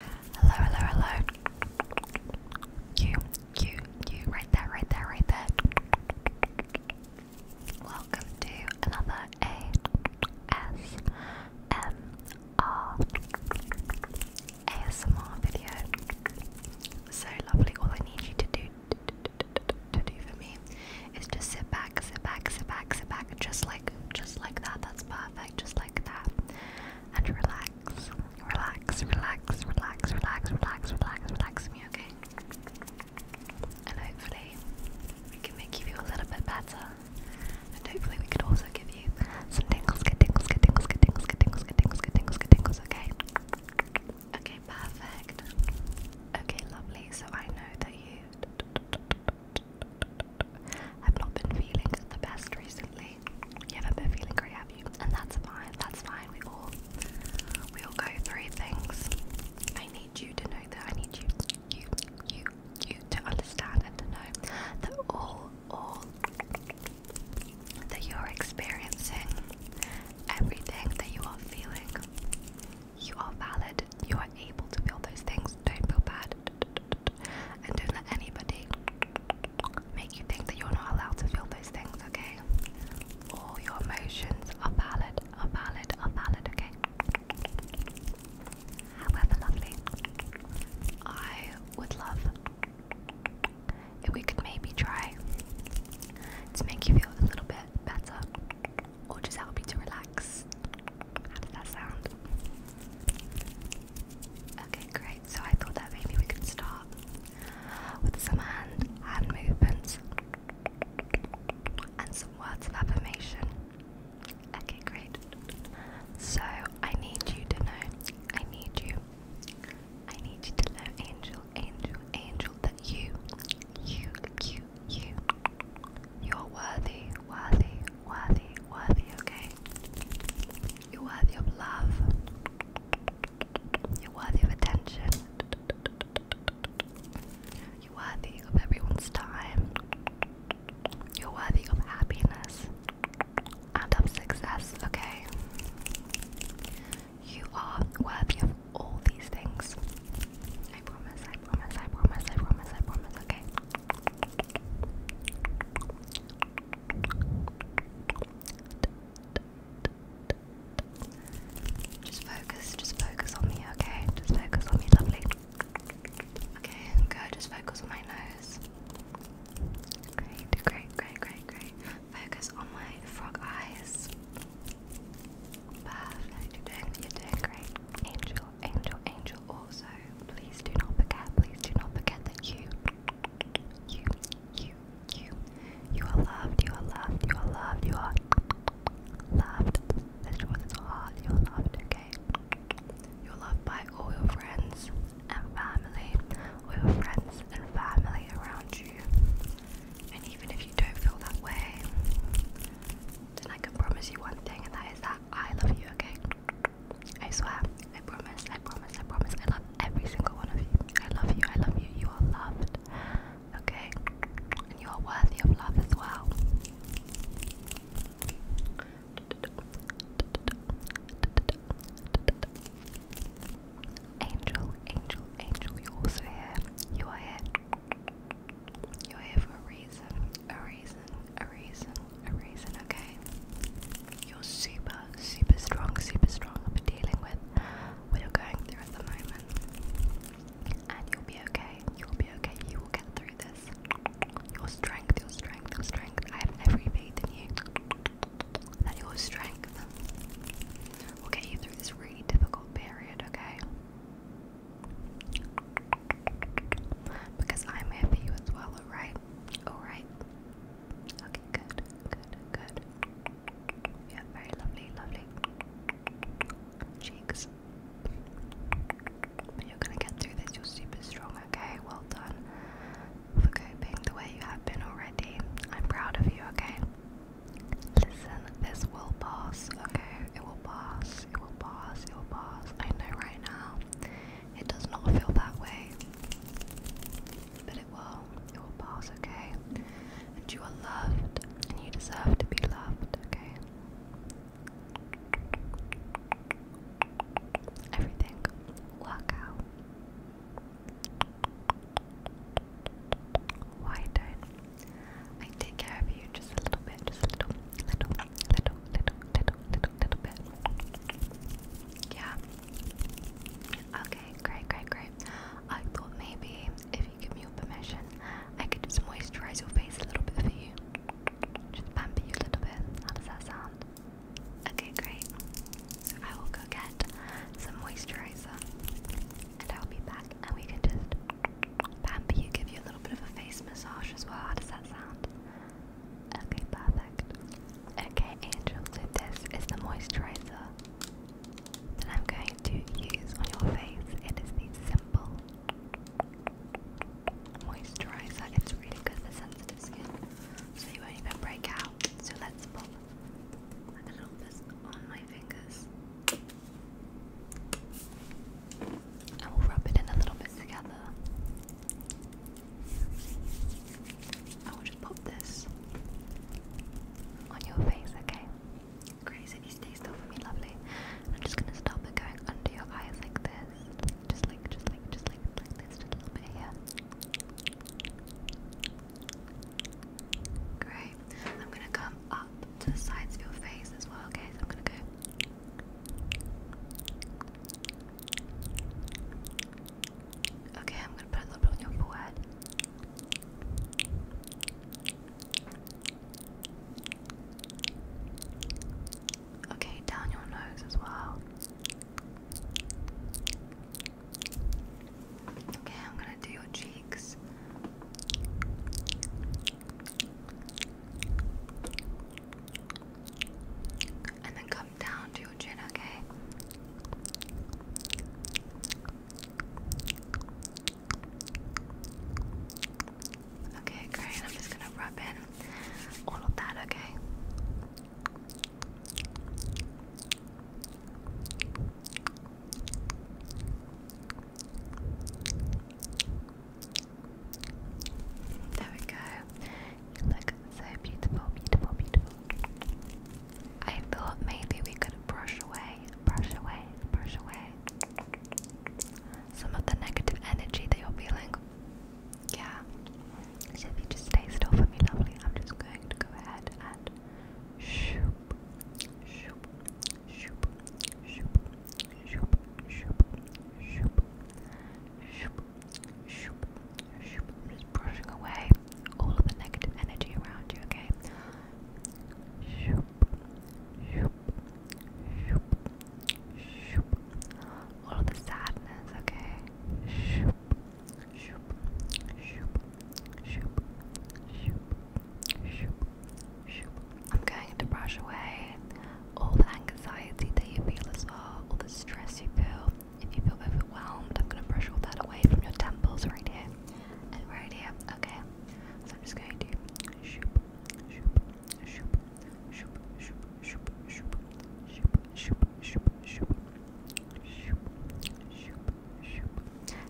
Hello, hello, hello. You, you, you, right there, right there, right there. Welcome to another ASMR video. So lovely. All I need you to do to do for me is just sit back, sit back, sit back, sit back, just like just like that. That's perfect, just like that and relax. Relax, relax, relax, relax, relax, relax, relax me, okay? And hopefully we can make you feel a little bit better. And hopefully we could also give you some tingles, get tingles, get tingles, get tingles, get tingles, get tingles, get tingles, get tingles, okay? Okay, perfect. Okay, lovely. So I know that you I've not been feeling the best recently. You haven't been feeling great, have you? And that's fine. That's fine. We all we all go through things. I need you to know that. I need you, you, you, you to understand and to know that all, all that you're experiencing, everything that you are feeling, you are valid. You are able to feel those things. Don't feel bad bad. And don't let anybody make you think that you're not allowed to feel those things, okay? All your emotions are valid, are valid, are valid, okay? However, lovely, I would love if we could maybe try to make you feel a little bit better or just help you to relax how did that sound? Okay, great. So I thought that maybe we could start with some hand hand movements and some words of affirmation. Okay, great. So I need you to know. I need you. I need you to know, angel, angel, angel, that you, you, you, you, you're worthy, worthy, worthy, worthy, okay? You're worthy of love. You're worthy of attention. You're worthy of everyone's time. You're worthy of happiness and of success, okay? You are worthy of all these things. I promise, I promise, I promise, I promise, I promise, okay? Just focus, just focus on me, okay? Just focus on me, lovely. Okay, good, just focus on my nose. great, great, great, great. Focus on my frog eyes. Perfect, you're doing, you're doing great. Angel, angel, angel, Also, please do not forget, please do not forget that you, you, you, you, you are loved, you are loved, you are loved, you are loved. This your heart, you are loved, okay? You're loved by all your friends and family, all your friends and family around you. And even if you don't feel that way, then I can promise you one thing, and that is that I love you, okay? I swear, I promise, I promise, I promise. I love every single one of you. I love you, I love you. You are loved, okay? And you are worthy of love as well. Angel, angel, angel, you're also here. You are here. You have a reason, a reason, a reason, a reason, okay? You're super, super strong, super strong for dealing with what you're going through at the moment. And you'll be okay, you'll be okay, you will get through this. Your strength, your strength, your strength. I have every faith in you that your strength will get you through this really difficult period, okay? Because I'm happy as well, alright? Alright. Okay, good, good, good. Yeah, very lovely, lovely. Cheeks. you're gonna get through this, you're super strong, okay? Well done for coping the way you have been already. I'm proud of you, okay? Listen, this will pass, okay? it will pass, it will pass, it will pass. I know right now it does not feel that way, but it will, it will pass, okay? And you are loved, and you deserve to be loved, okay? Everything will work I take care of you just a little bit, just a little, little, little, little, little, little, little bit. Yeah. Okay, great, great, great. I thought maybe if you give me your permission, I could just moisturize your face a little bit for you. Just pamper you a little bit. How does that sound? Okay, great. So I will go get some moisturizer and I'll be back and we can just Pamper you, give you a little bit of a face massage as well. How does that sound? Okay, perfect. Okay, Angel, so this is the moisturizer that I'm going to use on your face. It is the Simple Moisturizer. It's really good for sensitive skin, so you won't even break out. So let's pop a little bit on my fingers. I will rub it in a little bit together. I will just pop this on your face, okay? Great, you stay still for me, lovely. I'm just gonna stop it going under your eyes like this. Just like, just like, just like this, just a little bit here. Great. I'm gonna come up to the sides of your face as well, okay? So I'm gonna go. Okay, I'm gonna put a little on your forehead. Okay, down your nose as well. Okay, I'm gonna do your cheeks. And then come down to your chin, okay? Okay, great. I'm just gonna rub in all of that, okay? There we go. You look so beautiful, beautiful, beautiful. I thought maybe we could brush away, brush away, brush away some of the negative energy that you're feeling. Yeah. So if you just stay still for me, lovely, I'm just going to go ahead and shoop, shoop, shoop, shoop, shoop, shoop, shoop, shoop, shoop, shoop. I'm just brushing away all of the negative energy around you, okay? Shoop, shoop, shoop, shoop. All of the sadness, okay? Shoop, shoop, shoop, shoop, shoop, shoop, shoop. I'm going to brush away all the anxiety that you feel as well, all the stress you feel. If you feel overwhelmed, I'm going to brush all that away from your temples right here and right here. Okay, so I'm just going to shoop, shoop, shoop, shoop, shoop, shoop, shoop, shoop, shoop, shoop, shoop,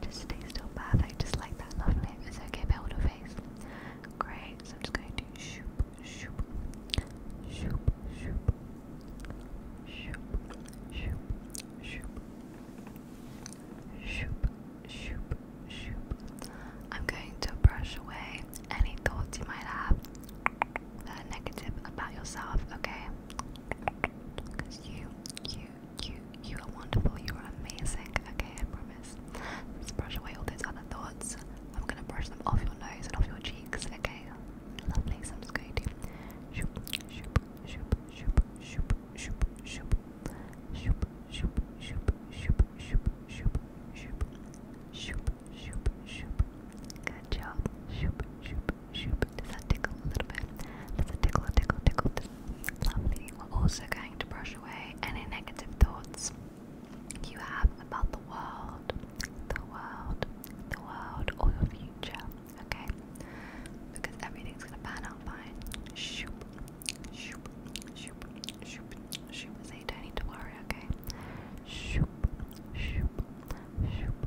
just stay still, perfect, just like that, lovely. It's okay, build face. Great, so I'm just going to shoop, shoop, shoop, shoop, shoop, shoop, shoop, shoop, shoop, shoop. I'm going to brush away any thoughts you might have negative about yourself, okay? Because you, you, you, you, are wonderful, you are amazing. Okay, I promise. Let's brush away all those other thoughts. I'm gonna brush them off your nose and off your cheeks. Okay, lovely. So I'm just going to shoop, shoop, shoop, shoop, shoop, shoop, shoop, shoop, shoop, shoop, shoop, shoop, shoop, shoop, shoop, shoop, shoop. Good job. shoop, Shoop. Does that tickle a little bit? Does it tickle, tickle, tickle? Lovely. We're also going to brush away any negative thoughts you have about the world, the world, the world, or your future. Okay? Because everything's gonna pan out fine. Shoop, shoop, shoop, shoop, shoop. So you don't need to worry. Okay? Shoop, shoop, shoop,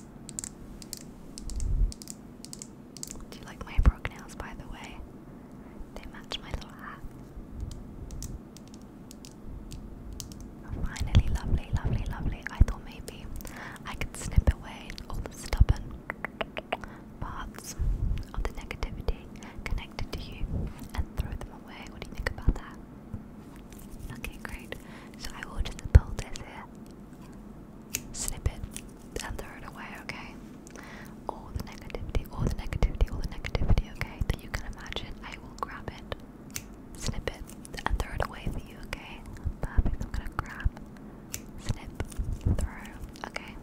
Do you like my brook nails, by the way? They match my little hat. Oh, finally, lovely, lovely, lovely. I thought maybe I could snip away all the stubborn parts of the negativity connected to you and throw them away. What do you think about that? Okay, great. So I will the pull this here, snip it, and throw it away, okay? All the negativity, all the negativity, all the negativity, okay? That you can imagine, I will grab it, snip it, and throw it away for you, okay? Perfect. I'm gonna grab, snip, throw, okay?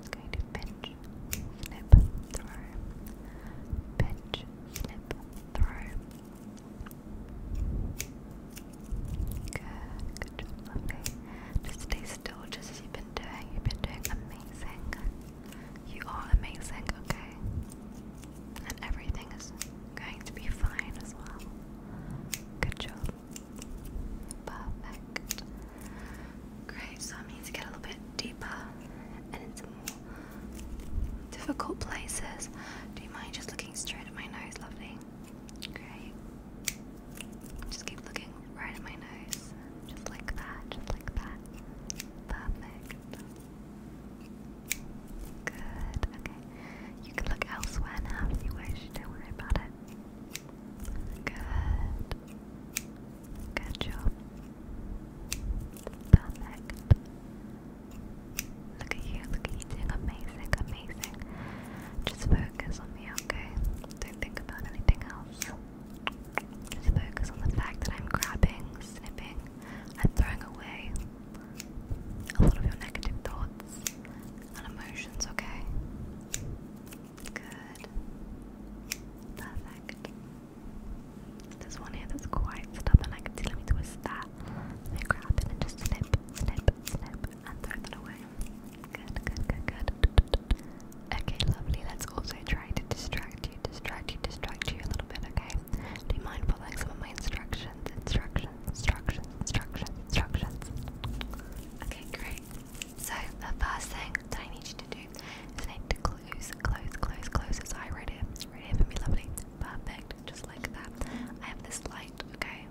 It's going to pinch, snip, throw, pinch, snip, throw. Good, job, stay still, just you've been doing. You've been doing amazing. You are amazing, okay? And everything is going to be fine as well. Good job. Perfect. Great, so I need to get a little bit deeper and into difficult places. Do you mind just looking straight at my nose, lovely? Great. Just keep looking right at my nose. Just like that, just like that. Perfect. Good, okay. You can look elsewhere now if you wish, don't worry about it. Good. Good job. Perfect. Look at you, look at you amazing, amazing. Just focus on me, okay? Don't think about anything else. Just focus on the fact that I'm grabbing, snipping, and throwing away a lot of your negative thoughts and emotions, okay? Good. Perfect. There's one here that's quite stubborn. I can see. Let me twist that. Let me grab it and just snip, snip, snip, and throw it away. Good, good, good, good. Okay, lovely. Let's also try to distract you, distract you, distract you a little bit. Okay. Do you mind following some of my instructions? Instructions, instructions, instructions, instructions. Okay, great. So the first thing that I need you to do is I need to close who's close, close, close is I right here. Right here for me, lovely. Perfect. Just like that. I have this light, okay?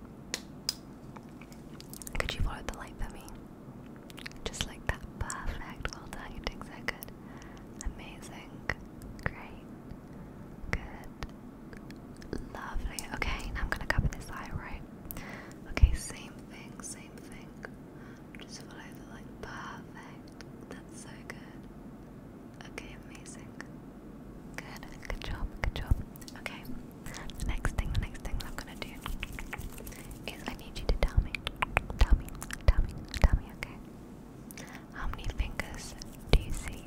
Could you follow the light for me? Just like that. Perfect. Well done. You're doing so good. Amazing. Great. Good. Lovely. Okay, now I'm gonna cover this eye, right? Okay, same thing, same thing. Just follow the light. Perfect. That's so good. Okay, amazing. Good, good job, good job. Okay, the next thing, the next thing I'm gonna do is I need you to tell me, tell me, tell me, tell me, okay? How many fingers do you see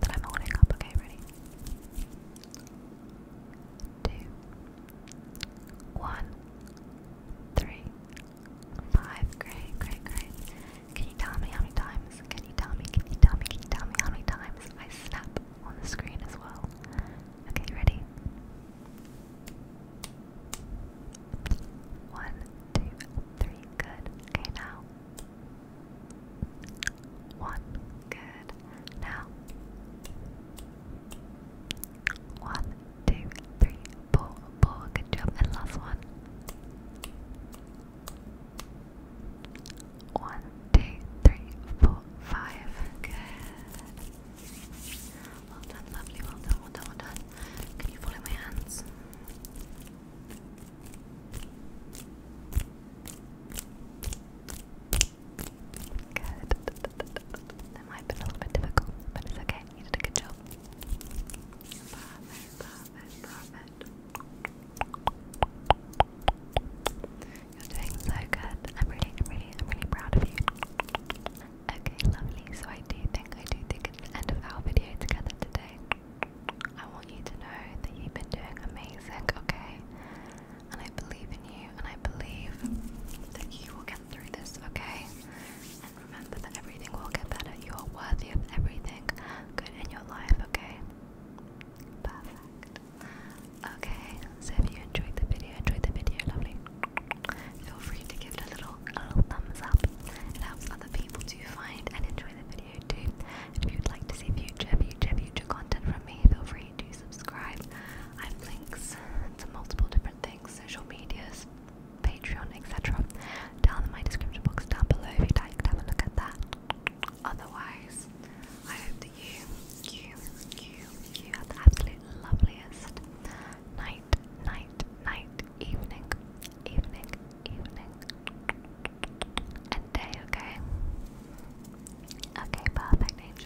that I'm holding up? Okay, ready? Two, one, three. Five. Great, great, great. Can you tell me how many times? Can you tell me? Can you tell me? Can you tell me how many times I snap on the screen as well? Okay, ready? One, two, three. Good. Okay, now. One. Good. Now. One, two, three, four, four. Good job. And last one. One, two, three, four, five. Good. Well done, lovely. Well done, well done, well done. Can you follow my hands? Good. That might have been a little bit difficult, but it's okay. You did a good job. Love it, love it, love it. You're doing so good. I'm really, really, I'm really proud of you. Okay, lovely. So I do think, I do think it's end of our video together today. I want you to know that you've been doing amazing, okay? And I believe in you, and I believe that you will get through this, okay? And remember that everything will get better. You are worthy of everything good in your life, okay? Perfect. Okay, so if you enjoyed the video, enjoyed the video, lovely. Feel free to give it a little, a little thumbs up. helps other people to find and enjoy the video too. if you'd like to see future, future, future content from me, feel free to subscribe. I have links to multiple different different things, social medias, Patreon, etc. Down in my description box down below if you'd like to have a look at that. Otherwise, I hope that you, you, you, you have the absolute loveliest night, night, night, evening, evening, evening, and day, okay? Okay, perfect,